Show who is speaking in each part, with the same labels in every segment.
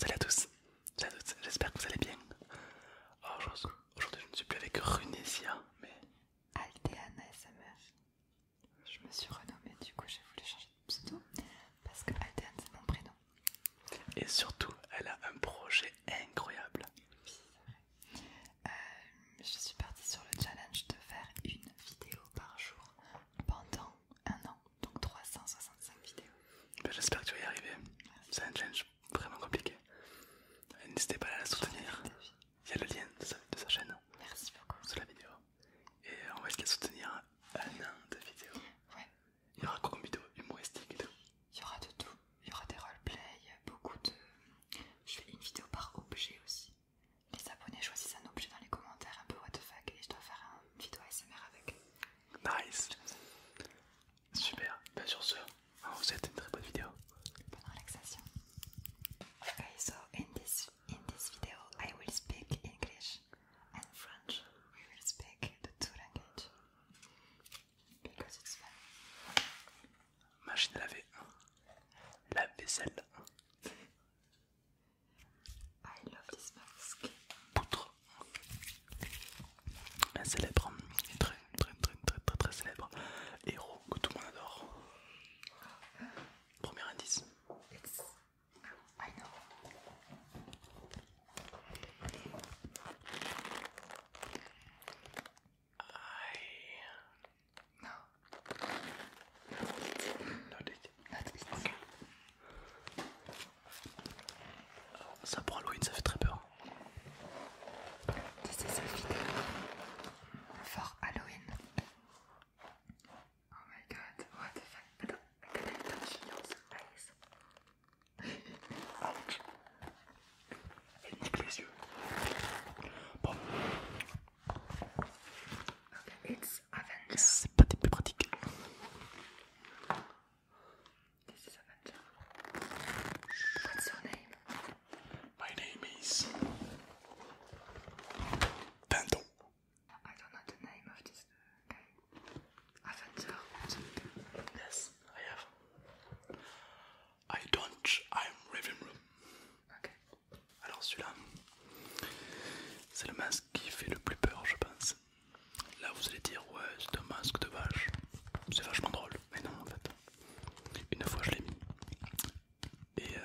Speaker 1: Salut à tous J'espère que vous allez bien. Oh, aujourd'hui, je ne suis plus avec Runesia, mais. Aldeana SMR. Je me suis renommée, du coup, j'ai voulu changer de pseudo parce que Aldeana, c'est mon prénom. Et surtout, elle a un projet incroyable. Euh, je suis partie sur le challenge de faire une vidéo par jour pendant un an, donc 365 vidéos. Ben, j'espère que tu vas y arriver. C'est un challenge vraiment compliqué. N'hésitez pas à la soutenir. Il y a le lien de sa, chaîne Merci beaucoup. sous la vidéo. Et on va essayer de soutenir un an de vidéos. Ouais. Il y aura quoi comme vidéo humoristique et tout Il y aura de tout. Il y aura des play, beaucoup de. Je fais une vidéo par objet aussi. Les abonnés choisissent un objet dans les commentaires, un peu what the fuck, et je dois faire une vidéo ASMR avec. Nice. Super, bien bah, sur ce, vous êtes une très bonne vidéo. Bonne relaxation. Okay, so in this in this video I will speak English and French. We will speak the two languages because it's fun. Machine à laver. La vaisselle. I love this mask. Poutre un célèbre, très très très très très très célèbre héros que tout le monde adore. Premier indice. No. Ça pour Halloween, ça fait très peur. C'est sa vidéo for Halloween. Oh my god, what the fuck? Attends, attends, attends, Elle nique les yeux. Bon. Okay, it's Avengers. C'est pas des plus pratiques. This is Avenger. What's your name? My name is Bando. I don't know the name of this guy. Avenger. Yes, I have. I don't. I'm Raven Okay. Alors celui-là, c'est le masque qui fait le plus peur, je pense. Là vous allez dire ouais c'est un masque de vache, c'est vachement drôle, mais non en fait. Une fois je l'ai mis et euh,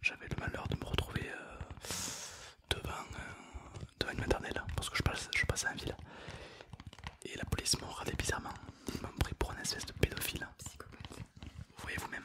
Speaker 1: j'avais le malheur de me retrouver euh, euh, devant, une maternelle parce que je passais, je en ville et la police m'a regardé bizarrement, ils m'ont pris pour un espèce de pédophile. Vous voyez vous-même.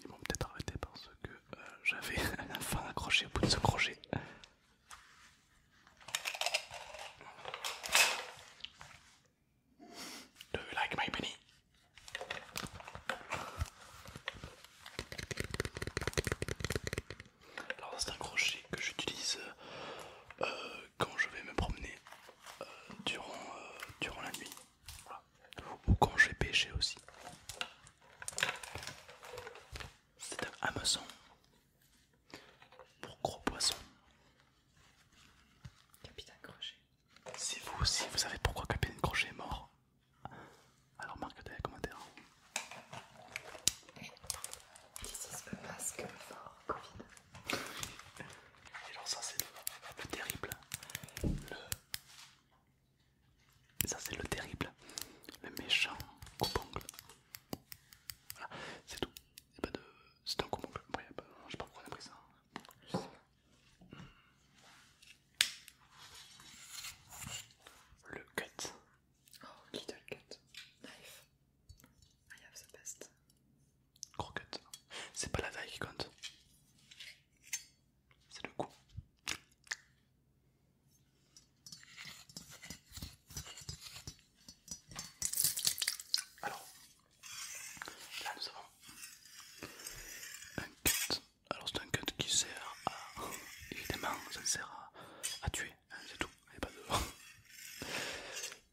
Speaker 1: Ils m'ont peut-être arrêté parce que euh, j'avais la enfant accroché au bout de ce crochet. Do you like my Alors c'est un crochet que j'utilise euh, quand je vais me promener euh, durant la nuit. Ou quand j'ai pêché aussi. C'est un hameçon pour gros poissons. Capitaine Crochet. Si vous aussi vous savez pourquoi Capitaine Crochet est mort, alors marquez dans les commentaires. qui que masque fort Covid. alors ça c'est le, terrible. Le ça c'est le terrible, le méchant coupongle. Voilà, c'est tout. C'est un couponcle. Je sais pas pourquoi on a pris ça. Le cut. Oh, little cut. Knife. I have the best. Gros cut. C'est pas la taille qui compte. C'est le coup Alors, là nous avons un cut. Alors c'est un cut qui sert à... Évidemment, ça sert à, tuer, hein, c'est tout. Je ne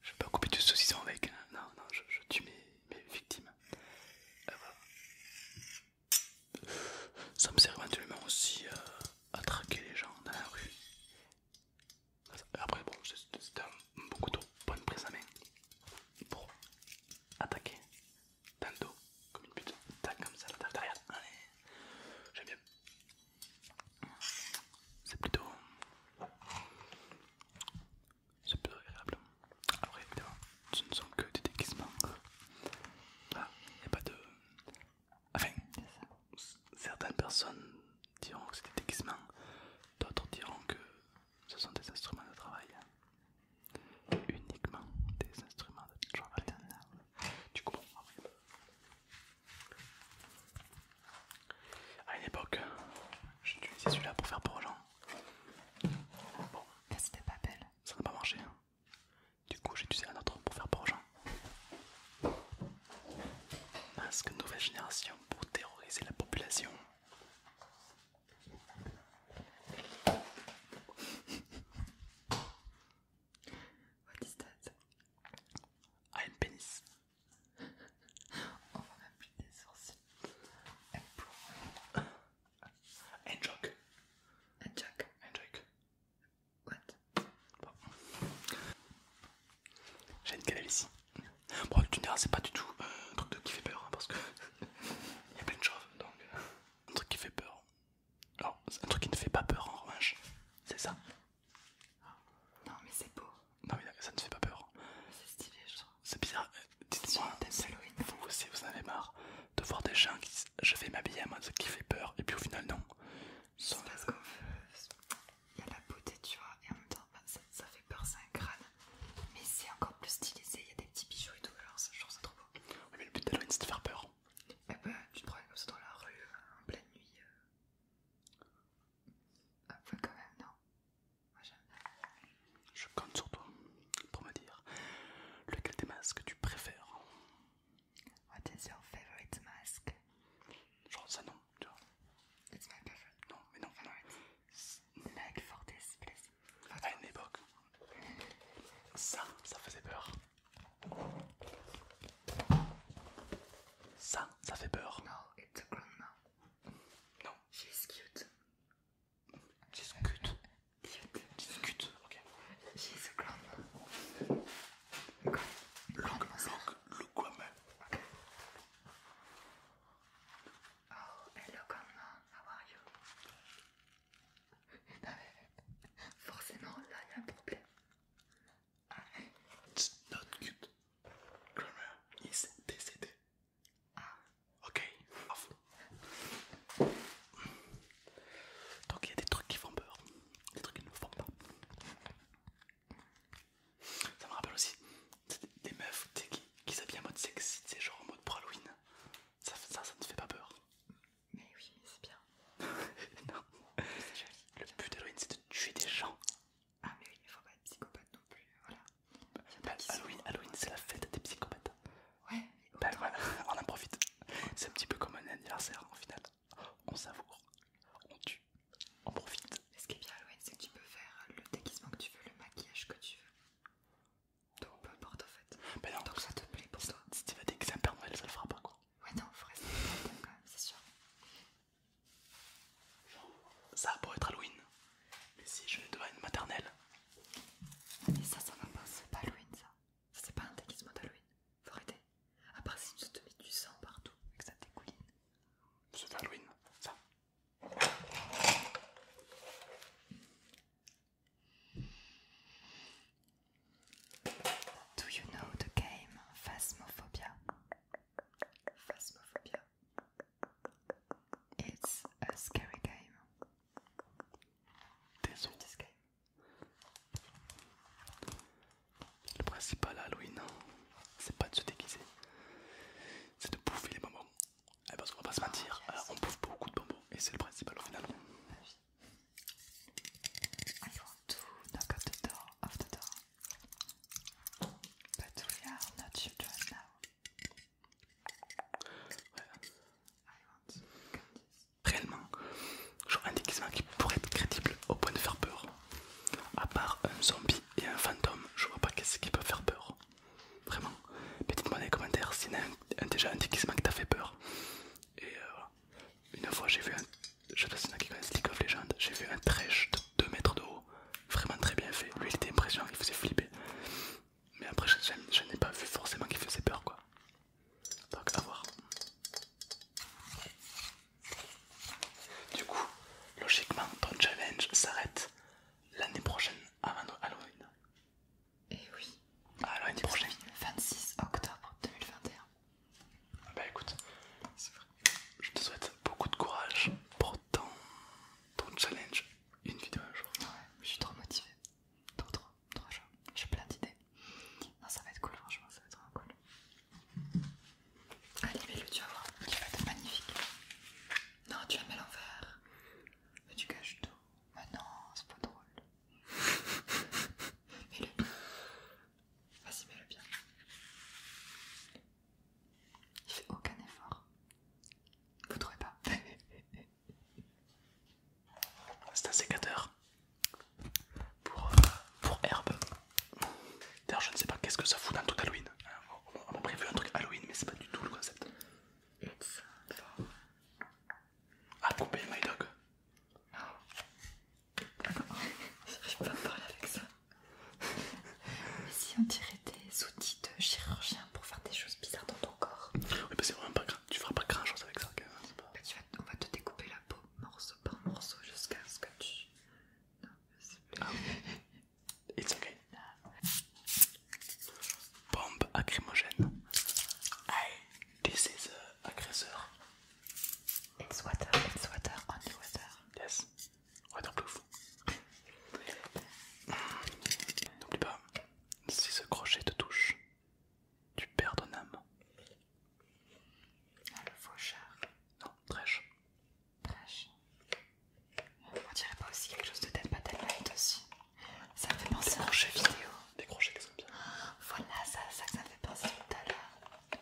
Speaker 1: je vais pas couper du saucisson avec. Hein. Non, non, je, tue mes, mes victimes. Euh, ça me sert éventuellement aussi euh, à traquer les gens dans la rue. Après, bon, c'est un beaucoup de bonne prise à main pour attaquer dans dos comme une pute. Tac, comme ça, la tac, derrière. allez J'aime bien. C'est plutôt c'est plus agréable. Après, évidemment, ce ne sont que des déguisements. Voilà, ah, il n'y a pas de. Enfin, certaines personnes diront que c'est des déguisements, d'autres diront que ce sont des instruments de travail. Uniquement des instruments de travail. Tu comprends À une époque, j'utilisais celui-là pour faire pour aux gens. Bon, que c'était pas belle. Ça n'a pas marché. Hein. Du coup, j'ai utilisé un autre pour faire prochain. Masque nouvelle génération pour terroriser la population. What is that? I'm ah, pénis. On va appuyer des sourcils. Un joke. un joke. What J'ai une galère ici. Bon, tu ne diras, c'est pas du tout euh, un truc qui fait peur hein, parce que il y a plein de choses donc. Euh, un truc qui fait peur. Alors, un truc qui ne fait pas peur en revanche, c'est ça. Non, mais c'est beau. Non, mais ça ne fait pas peur. C'est stylé, je trouve. C'est bizarre, Dites-moi vous aussi vous en avez marre de voir des gens qui disent je vais m'habiller à ce qui fait peur et puis au final non. C'est parce qu'on Il y a la beauté, tu vois, et en même temps bah, ça, fait peur, c'est un crâne. Mais c'est encore plus stylisé, il y a des petits bijoux et tout, alors ça, je trouve ça trop beau. Oui, mais le but d'Halloween c'est de faire peur. Eh ben, tu te promènes comme ça dans la rue, en pleine nuit. Euh. Ah, quand même, non. Je compte sur toi pour me dire lequel des masques tu préfères. What is your favorite mask? Genre ça non, tu vois. It's my favorite. Non, mais non. Favorite. Like for this place. À une époque, ça, ça faisait peur. Ça, ça fait peur. No, it's a grandma. Non. She's cute. Discute. Discute. Ok. J'ai ce c'est long le quoi même. Oh, hello, How are you forcément, là, il y a problème. It's not good. Grandma is décédé. Ah. Ok. Donc il y a des trucs qui font peur, des trucs qui ne font pas. Ça me rappelle aussi des meufs qui, qui s'habillent en mode sexy, c'est genre en mode pour Halloween. Ça, ça, ne fait pas peur. Mais oui, mais c'est bien. non. Le but d'Halloween c'est de tuer des gens. Ah, mais oui, il faut pas être psychopathe non plus, voilà. Bah, bah, Halloween, Halloween c'est la fête des psychopathes. Ouais, bah, voilà, on en profite. C'est un petit peu comme un anniversaire en final. On savoure, on tue, on profite. Mais ce qui est bien, Halloween, c'est que tu peux faire le déguisement que tu veux, le maquillage que tu veux. Donc peu importe en fait. Ben non, Donc ça te plaît pour toi. Si tu vas déguiser un Père Noël, ça le fera pas quoi. Ouais, non, faut rester quand même, c'est sûr ça pour être Halloween. Mais si je vais être une maternelle. Mais ça, ça va pas, c'est pas Halloween ça. c'est pas un déguisement d'Halloween. Faut arrêter. À part si tu te mets du sang partout et que ça dégouline. C'est Halloween, ça. Do you know the game Phasmophobia? Phasmophobia. It's a scary game. Désolé. Le principal à Halloween, hein, c'est pas de se déguiser, c'est de bouffer les bonbons. Et eh parce ben, qu'on va pas se ah, mentir, euh, on bouffe beaucoup de bonbons et c'est le principal au final. I want to knock at the door Réellement, genre un déguisement qui pourrait être crédible au point de faire peur. À part un zombie et un fantôme, je vois pas qu'est-ce qui peut faire peur. Vraiment. Mais dites-moi dans les commentaires s'il y a déjà un déguisement qui t'a fait peur. Et euh, une fois j'ai vu un... Je sais pas si qui connaissent League of Legends, j'ai vu un trash 2 mètres de haut, vraiment très bien fait. Lui il était impressionnant, il faisait flipper. Mais après, je, n'ai pas vu forcément qu'il faisait peur quoi. Donc, à voir. Du coup, logiquement, ton challenge s'arrête l'année prochaine avant Halloween. Eh ah, et oui. À l'année prochaine. 26 octobre 2021. Bah écoute, c'est vrai. Je te souhaite beaucoup de courage pour ton, challenge. Une vidéo à jour. Ouais, je suis trop motivée. Trop trop, trop chaud. J'ai plein d'idées. Non, ça va être cool, franchement, ça va être vraiment cool. mets le tu vas voir. tu vas être magnifique. Non, tu vas mis l'envers. Mais tu caches tout. Mais ah non, c'est pas drôle. mets-le Vas-y, mets-le bien. Il fait aucun effort. Vous trouvez pas C'est un sécateur pour, euh, pour herbe. D'ailleurs, je ne sais pas qu'est-ce que ça fout dans tout Halloween. On a prévu un truc Halloween, mais c'est pas du tout le concept. à ah, couper my dog. D'accord, j'arrive pas à parler avec ça. Mais si on t'irait des outils de chirurgien pour faire des choses bizarres dans ton corps. Oui, mais c'est pas tu feras pas grand chose avec ça. Bah, on va te découper la peau morceau par morceau jusqu'à ce que tu. Non, ah, It's okay. Bombe acrymogène. I, this is agresseur. aggressor. It's water, it's water, Yes. Ouais, donc le N'oublie pas, si ce crochet te touche, tu perds ton âme. Ah, le faucheur. Non, trèche. Trèche. On dirait pas aussi quelque chose de tête, tellement tellement aussi. Ça me fait penser à un jeu vidéo. Des crochets que ça bien. Voilà, ça, ça, ça me fait penser tout à l'heure.